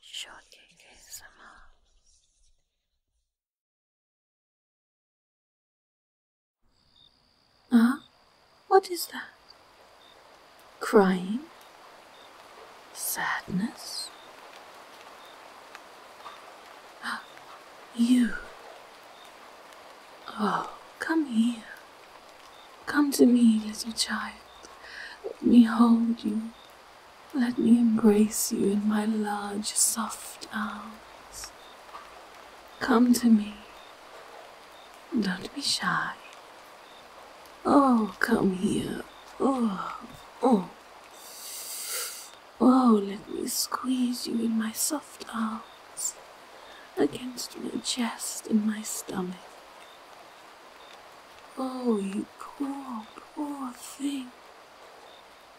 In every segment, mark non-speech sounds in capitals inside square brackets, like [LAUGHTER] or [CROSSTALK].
is Shorty ASMR Ah, What is that? Crying? Sadness? Ah, [GASPS] you. Oh, come here. Come to me, little child. Let me hold you. Let me embrace you in my large, soft arms. Come to me. Don't be shy. Oh, come here. Oh, oh. Oh, let me squeeze you in my soft arms, against my chest and my stomach. Oh, you poor, poor thing.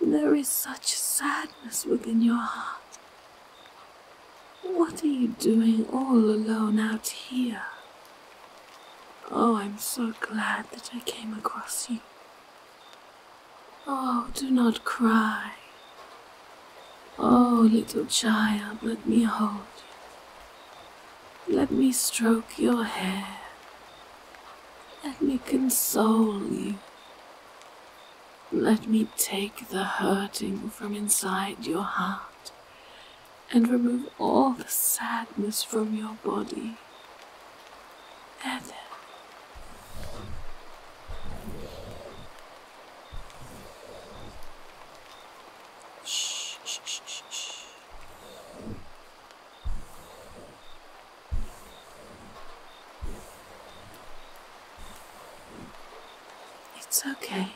There is such sadness within your heart. What are you doing all alone out here? Oh, I'm so glad that I came across you. Oh, do not cry. Oh, little child, let me hold you. Let me stroke your hair. Let me console you. Let me take the hurting from inside your heart and remove all the sadness from your body. There, shh. It's okay.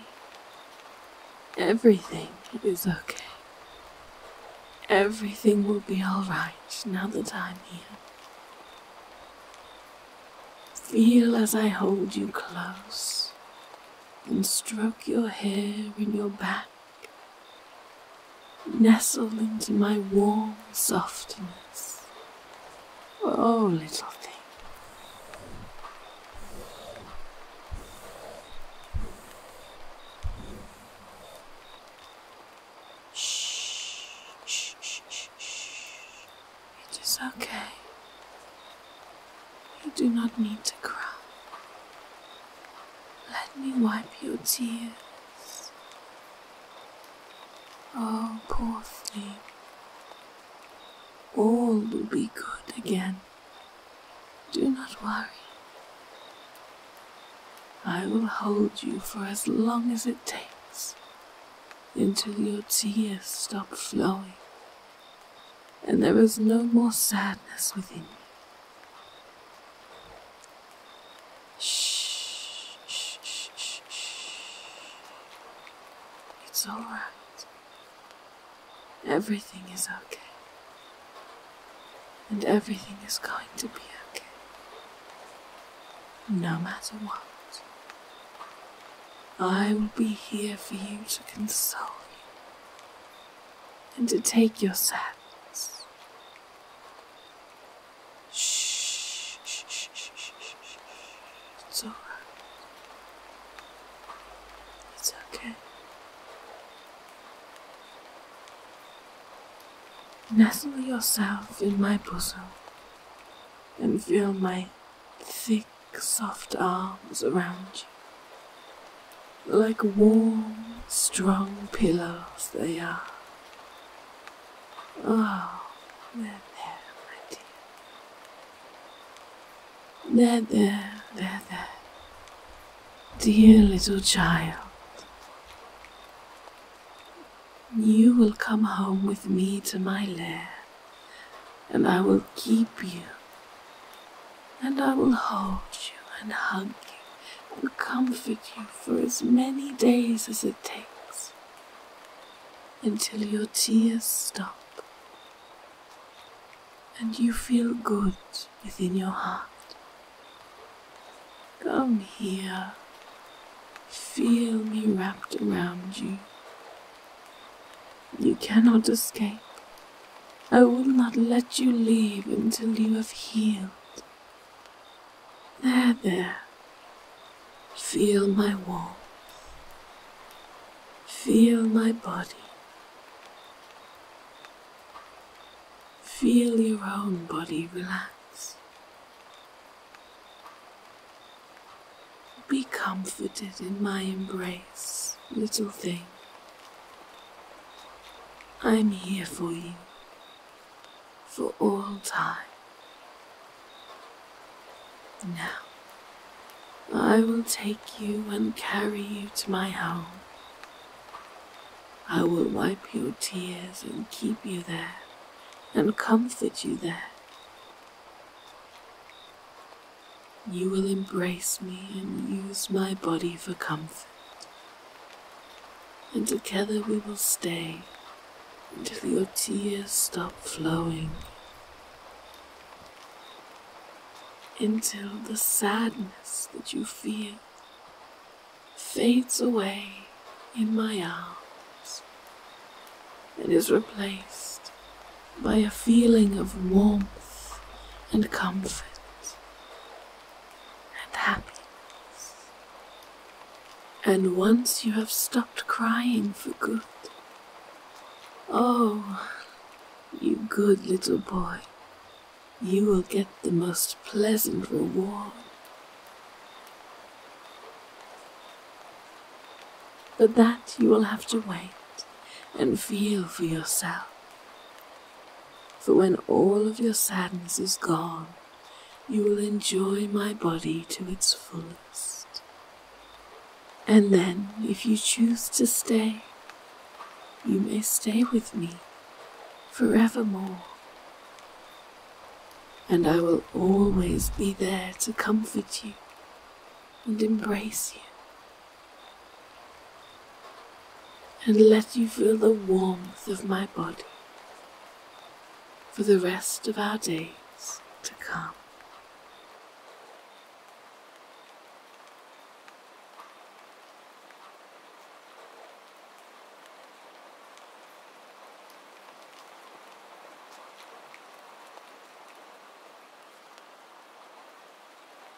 Everything is okay. Everything will be alright now that I'm here. Feel as I hold you close and stroke your hair in your back Nestle into my warm softness. Oh, little thing. Shh, shh, shh, it is okay. You do not need to cry. Let me wipe your tears. Oh, poor thing. All will be good again. Do not worry. I will hold you for as long as it takes until your tears stop flowing and there is no more sadness within you. Shh, shh, shh, shh, It's all right. Everything is okay. And everything is going to be okay. No matter what. I will be here for you to console you and to take your sadness silence. Shh, shh, shh, shh, shh, It's alright. It's okay. Nestle yourself in my bosom and feel my thick, soft arms around you. Like warm, strong pillows, they are. Oh, ah, there, there, my dear. There, there, there, there. Dear little child, you will come home with me to my lair, and I will keep you and I will hold you and hug you and comfort you for as many days as it takes until your tears stop and you feel good within your heart. Come here, feel me wrapped around you. You cannot escape. I will not let you leave until you have healed. There, there. Feel my warmth. Feel my body. Feel your own body relax. Be comforted in my embrace, little thing. I'm here for you for all time. Now, I will take you and carry you to my home. I will wipe your tears and keep you there and comfort you there. You will embrace me and use my body for comfort. And together we will stay until your tears stop flowing. Until the sadness that you feel fades away in my arms and is replaced by a feeling of warmth and comfort and happiness. And once you have stopped crying for good, oh, you good little boy, you will get the most pleasant reward. But that you will have to wait and feel for yourself for when all of your sadness is gone, you will enjoy my body to its fullest. And then, if you choose to stay, you may stay with me forevermore. And I will always be there to comfort you and embrace you and let you feel the warmth of my body for the rest of our days to come.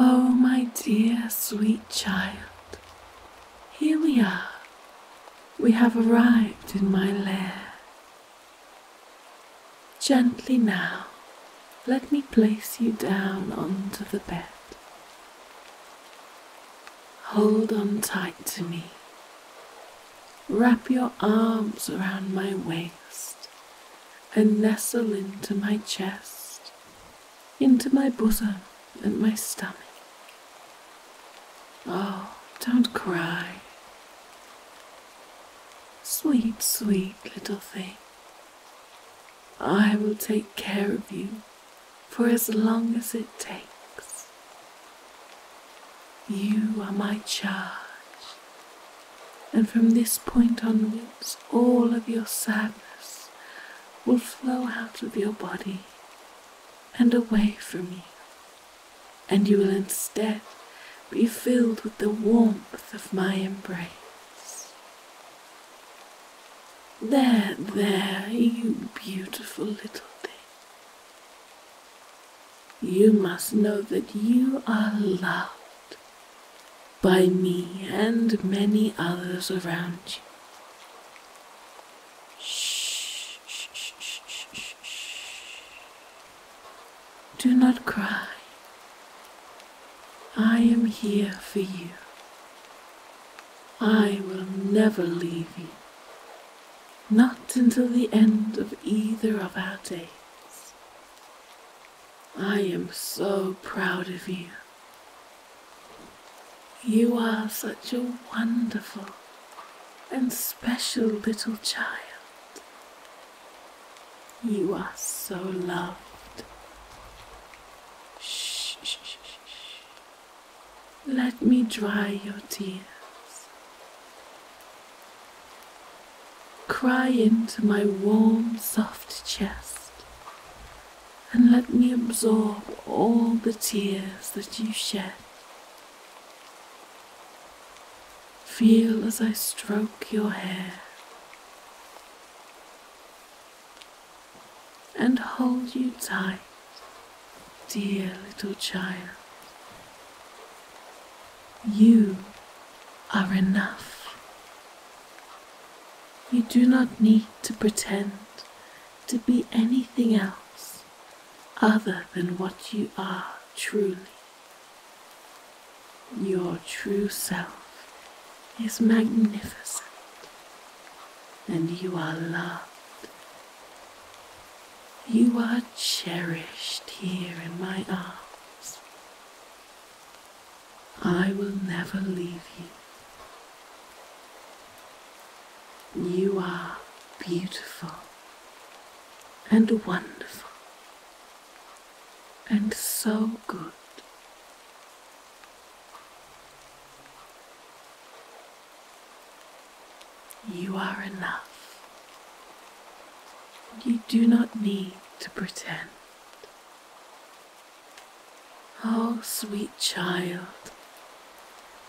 Oh, my dear sweet child, here we are. We have arrived in my lair. Gently now, let me place you down onto the bed. Hold on tight to me. Wrap your arms around my waist and nestle into my chest into my bosom and my stomach. Oh, don't cry. Sweet, sweet little thing. I will take care of you for as long as it takes. You are my charge, and from this point onwards, all of your sadness will flow out of your body and away from you, and you will instead be filled with the warmth of my embrace. There, there, you beautiful little thing. You must know that you are loved by me and many others around you. Shh, shh, shh, shh, shh, shh. Do not cry. I am here for you. I will never leave you. Not until the end of either of our days. I am so proud of you. You are such a wonderful and special little child. You are so loved. Shh, shh, shh, shh. Let me dry your tears. Cry into my warm, soft chest and let me absorb all the tears that you shed. Feel as I stroke your hair and hold you tight, dear little child. You are enough. You do not need to pretend to be anything else other than what you are truly. Your true self is magnificent, and you are loved. You are cherished here in my arms. I will never leave you. You are beautiful and wonderful and so good. You are enough. You do not need to pretend. Oh, sweet child,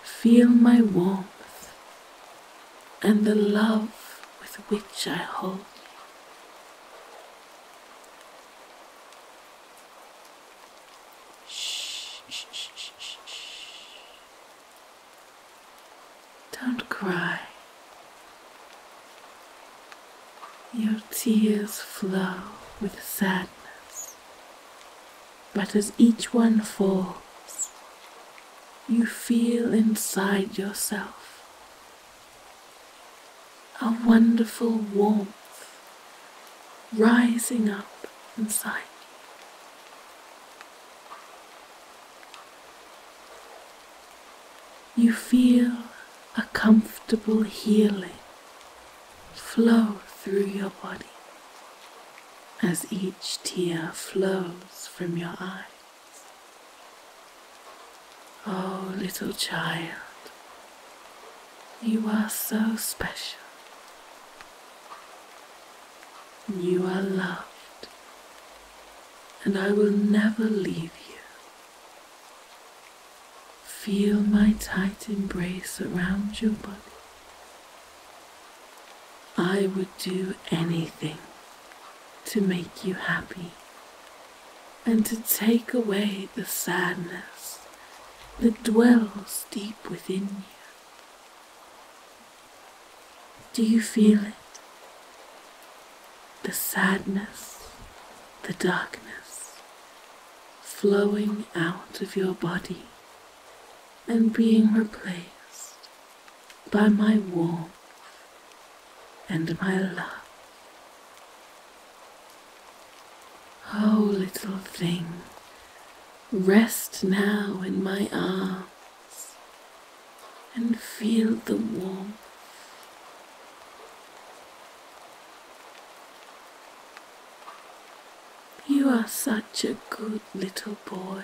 feel my warmth and the love with which I hold you. Shh, shh, shh, shh, shh. Don't cry. Your tears flow with sadness but as each one falls, you feel inside yourself a wonderful warmth rising up inside. you. You feel a comfortable healing flow through your body as each tear flows from your eyes. Oh, little child, you are so special. You are loved, and I will never leave you. Feel my tight embrace around your body. I would do anything to make you happy and to take away the sadness that dwells deep within you. Do you feel it? The sadness, the darkness flowing out of your body and being replaced by my warmth and my love. Oh, little thing, rest now in my arms and feel the warmth. You are such a good little boy.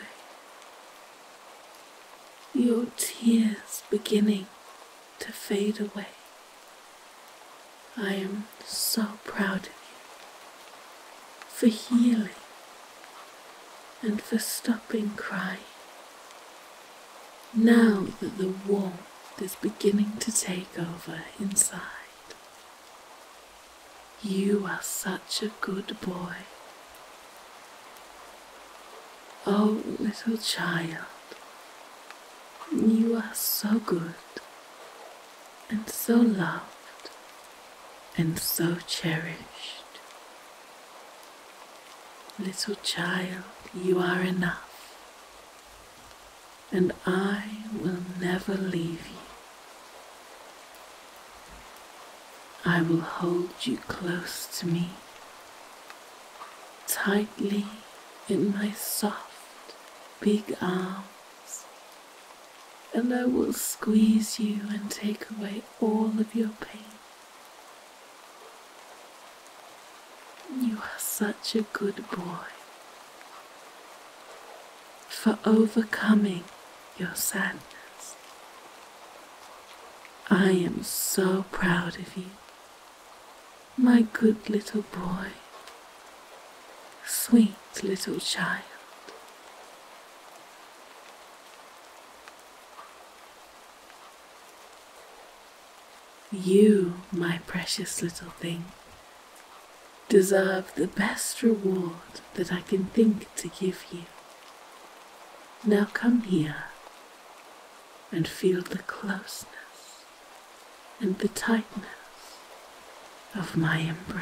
Your tears beginning to fade away. I am so proud of you for healing and for stopping crying. Now that the warmth is beginning to take over inside, you are such a good boy. Oh, little child, you are so good, and so loved, and so cherished. Little child, you are enough, and I will never leave you. I will hold you close to me, tightly in my soft, big arms, and I will squeeze you and take away all of your pain. You are such a good boy for overcoming your sadness. I am so proud of you, my good little boy, sweet little child. You, my precious little thing, deserve the best reward that I can think to give you. Now come here and feel the closeness and the tightness of my embrace.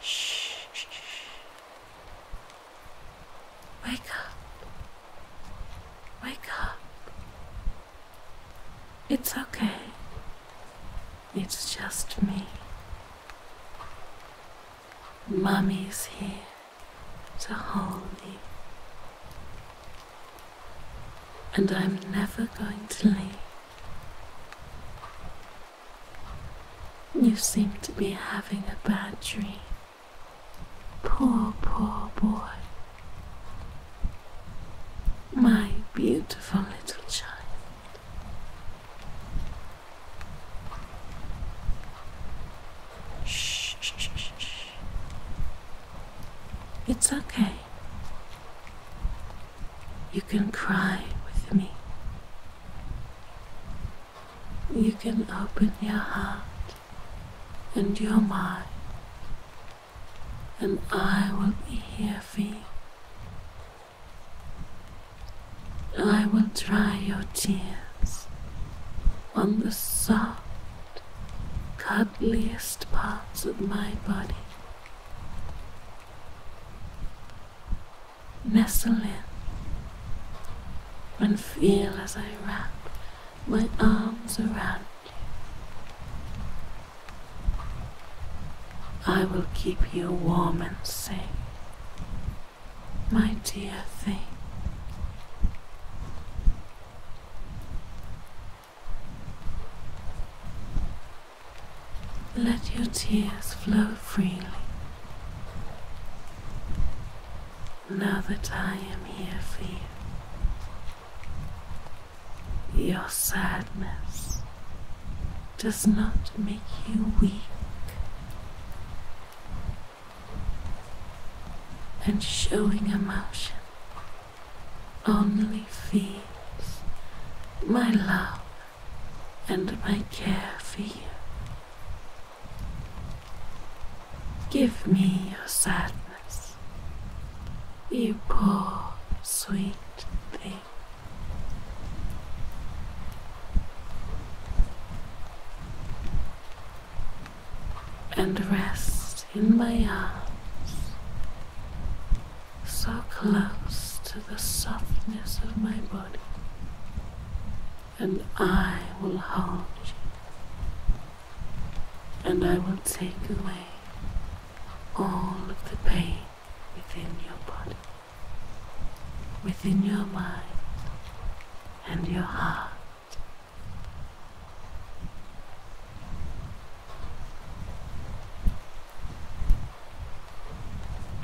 Shh. Wake up. Wake up. It's okay. It's just me. Mommy's here to hold you. And I'm never going to leave. You seem to be having a bad dream. Poor, poor boy. My beautiful little child. Shh, shh, shh, shh. It's okay. You can cry with me. You can open your heart and your mind, and I will be here for you. I will dry your tears on the soft, cuddliest parts of my body. Nestle in and feel as I wrap my arms around you. I will keep you warm and safe, my dear thing. Let your tears flow freely. Now that I am here for you, your sadness does not make you weak. And showing emotion only feeds my love and my care for you. Give me your sadness, you poor, sweet thing. And rest in my arms so close to the softness of my body, and I will hold you, and I will take away all of the pain within your body, within your mind, and your heart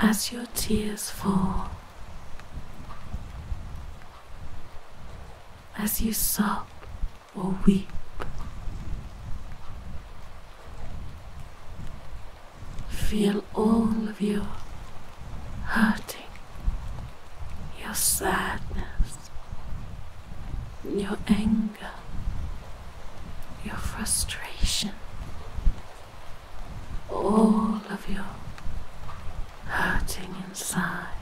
as your tears fall, as you sob or weep. Feel all of your hurting, your sadness, your anger, your frustration, all of your hurting inside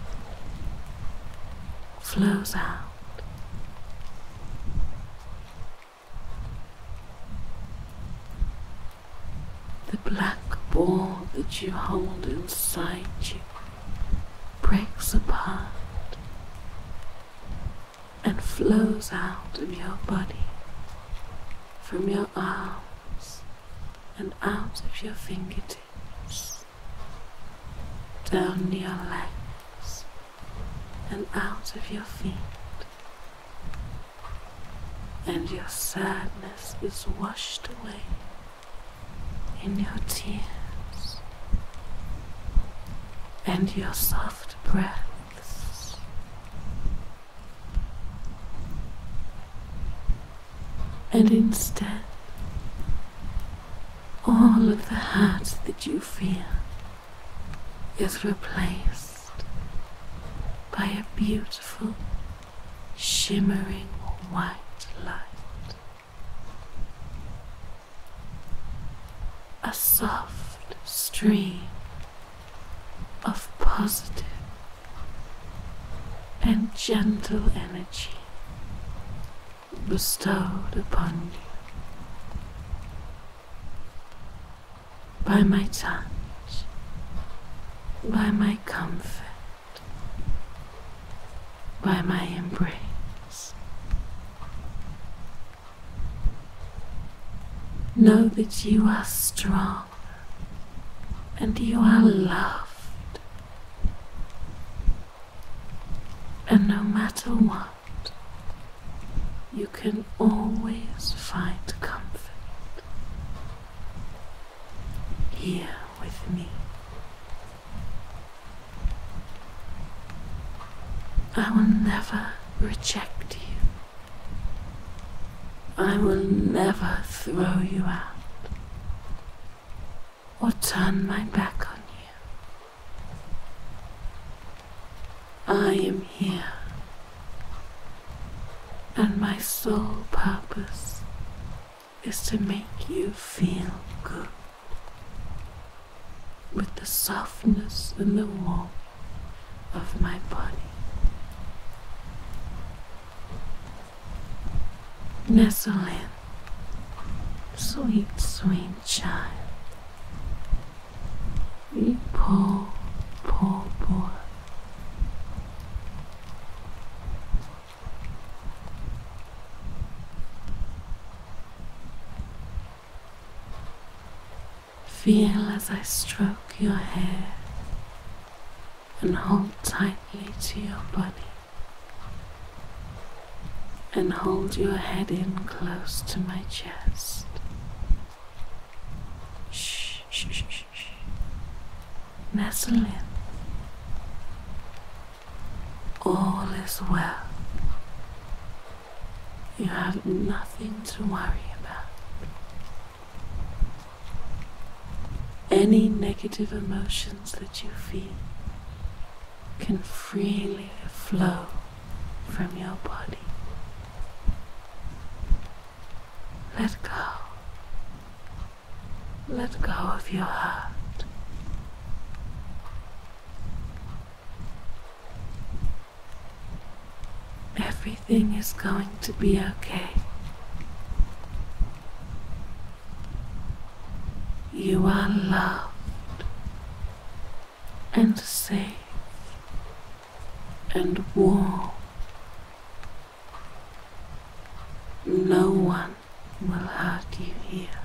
flows out. The black ball that you hold inside you breaks apart and flows out of your body from your arms and out of your fingertips down your legs and out of your feet and your sadness is washed away in your tears and your soft breath and instead, all of the hurt that you feel is replaced by a beautiful, shimmering white light. A soft stream of positive and gentle energy bestowed upon you by my touch, by my comfort, by my embrace, Know that you are strong and you are loved. And no matter what, you can always find comfort here with me. I will never reject you. I will never throw you out or turn my back on you. I am here, and my sole purpose is to make you feel good with the softness and the warmth of my body. Nestle in, sweet, sweet child. You poor, poor boy. Feel as I stroke your hair and hold tightly to your body. And hold your head in close to my chest. Shh, shh, shh, shh. Nestle in. All is well. You have nothing to worry about. Any negative emotions that you feel can freely flow from your body. Let go. Let go of your heart. Everything is going to be okay. You are loved and safe and warm. No one will hurt you here.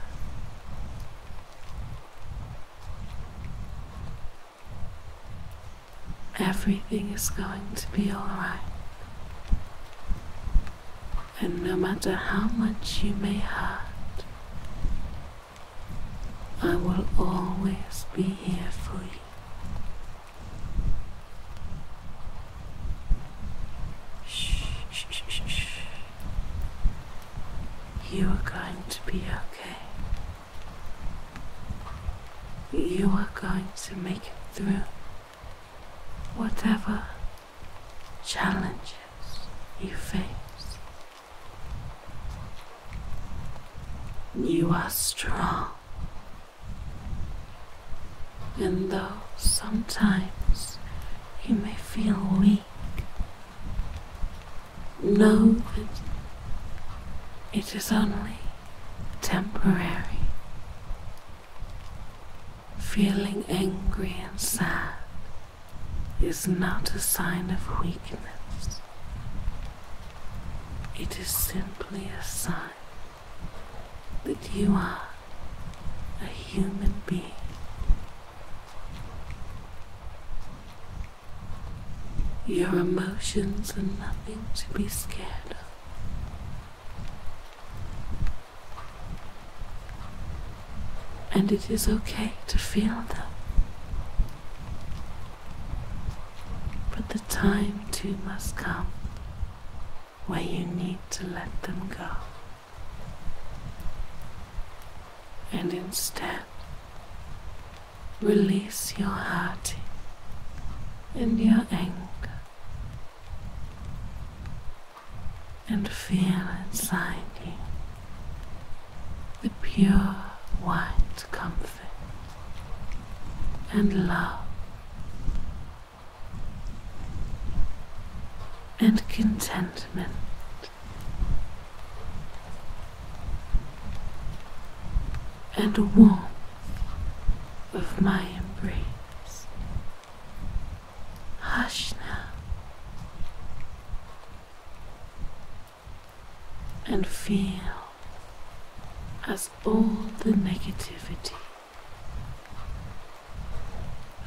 Everything is going to be alright. And no matter how much you may hurt, I will always be here for you. Shh, shh, shh, shh. You are going to be okay. You are going to make it through whatever challenges you face. You are strong, and though sometimes you may feel weak, know that it is only temporary. Feeling angry and sad is not a sign of weakness. It is simply a sign that you are a human being. Your emotions are nothing to be scared of. And it is okay to feel them. But the time too must come where you need to let them go. And instead, Release your hurting and your anger and feel inside you the pure white comfort and love. And contentment and the warmth of my embrace. Hush now and feel as all the negativity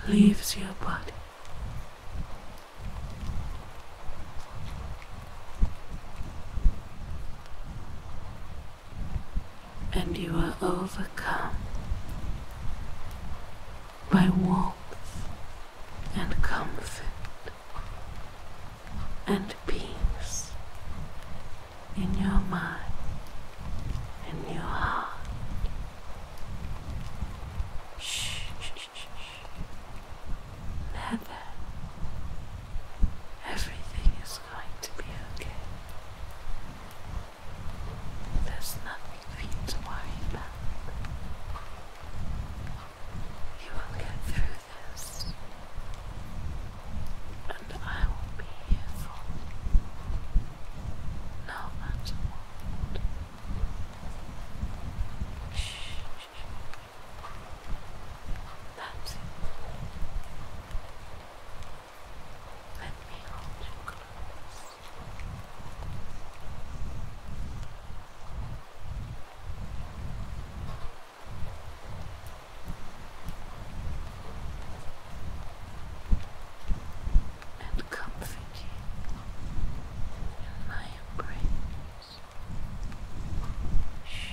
leaves your body and you are overcome by warmth and comfort and peace in your mind and your heart. shh. Never. Everything is going to be okay. There's nothing for you to worry about. You will get through this, and I will be here for you, no matter what. Shh, that's it. Let me hold you close. And comfort you in my embrace. shh.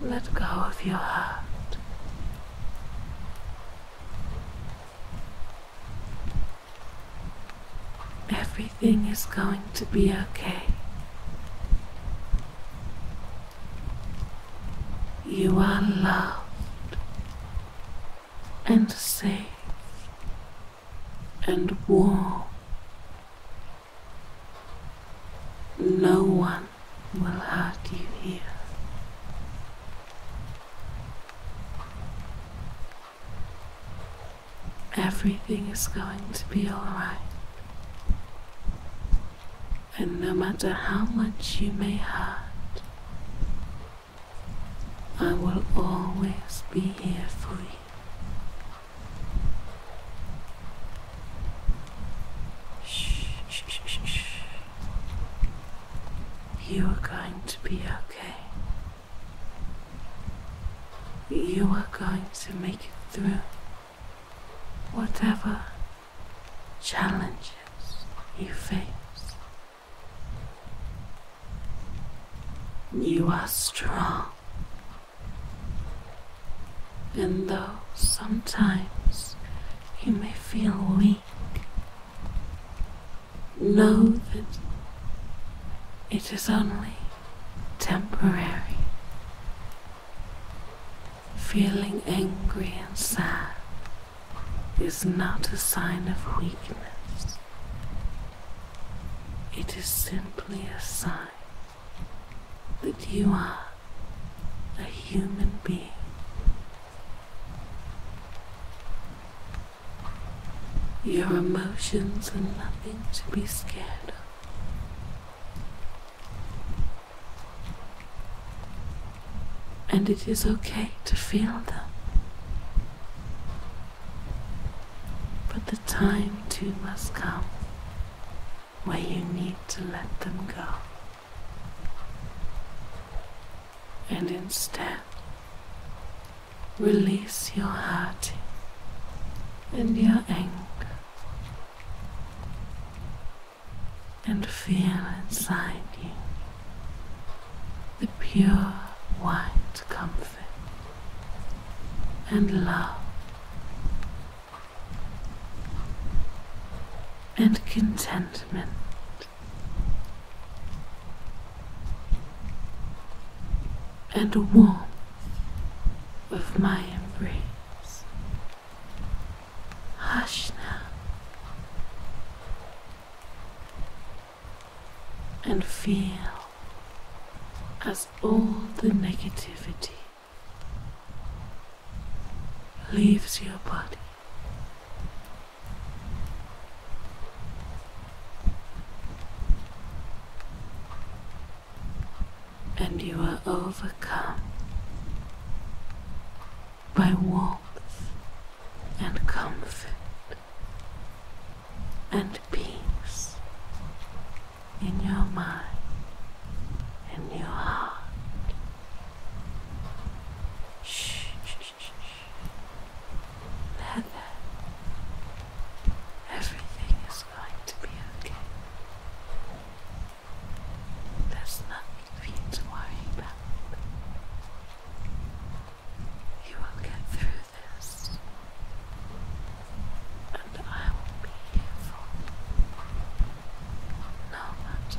Let go of your heart. Everything is going to be okay. You are loved and safe and warm. No one man will hurt you here. Everything is going to be alright. And no matter how much you may hurt, I will always be here for you. Shh, shh, shh, shh, You are going to be okay. You are going to make it through whatever challenges you face. You are strong. And though sometimes you may feel weak, know that it is only temporary. Feeling angry and sad is not a sign of weakness. It is simply a sign that you are a human being. Your emotions are nothing to be scared of. And it is okay to feel them. But the time too must come where you need to let them go. And instead, release your hurt and your anger and feel inside you the pure white comfort and love and contentment. And warmth of my embrace. Hush now, and feel as all the negativity leaves your body and you are overcome by warmth and comfort and peace in your mind, and your heart. Shh, shh, shh, shh. Leather. Everything is going to be okay. There's nothing for you to worry about. You will get through this, and I will be here for you, no matter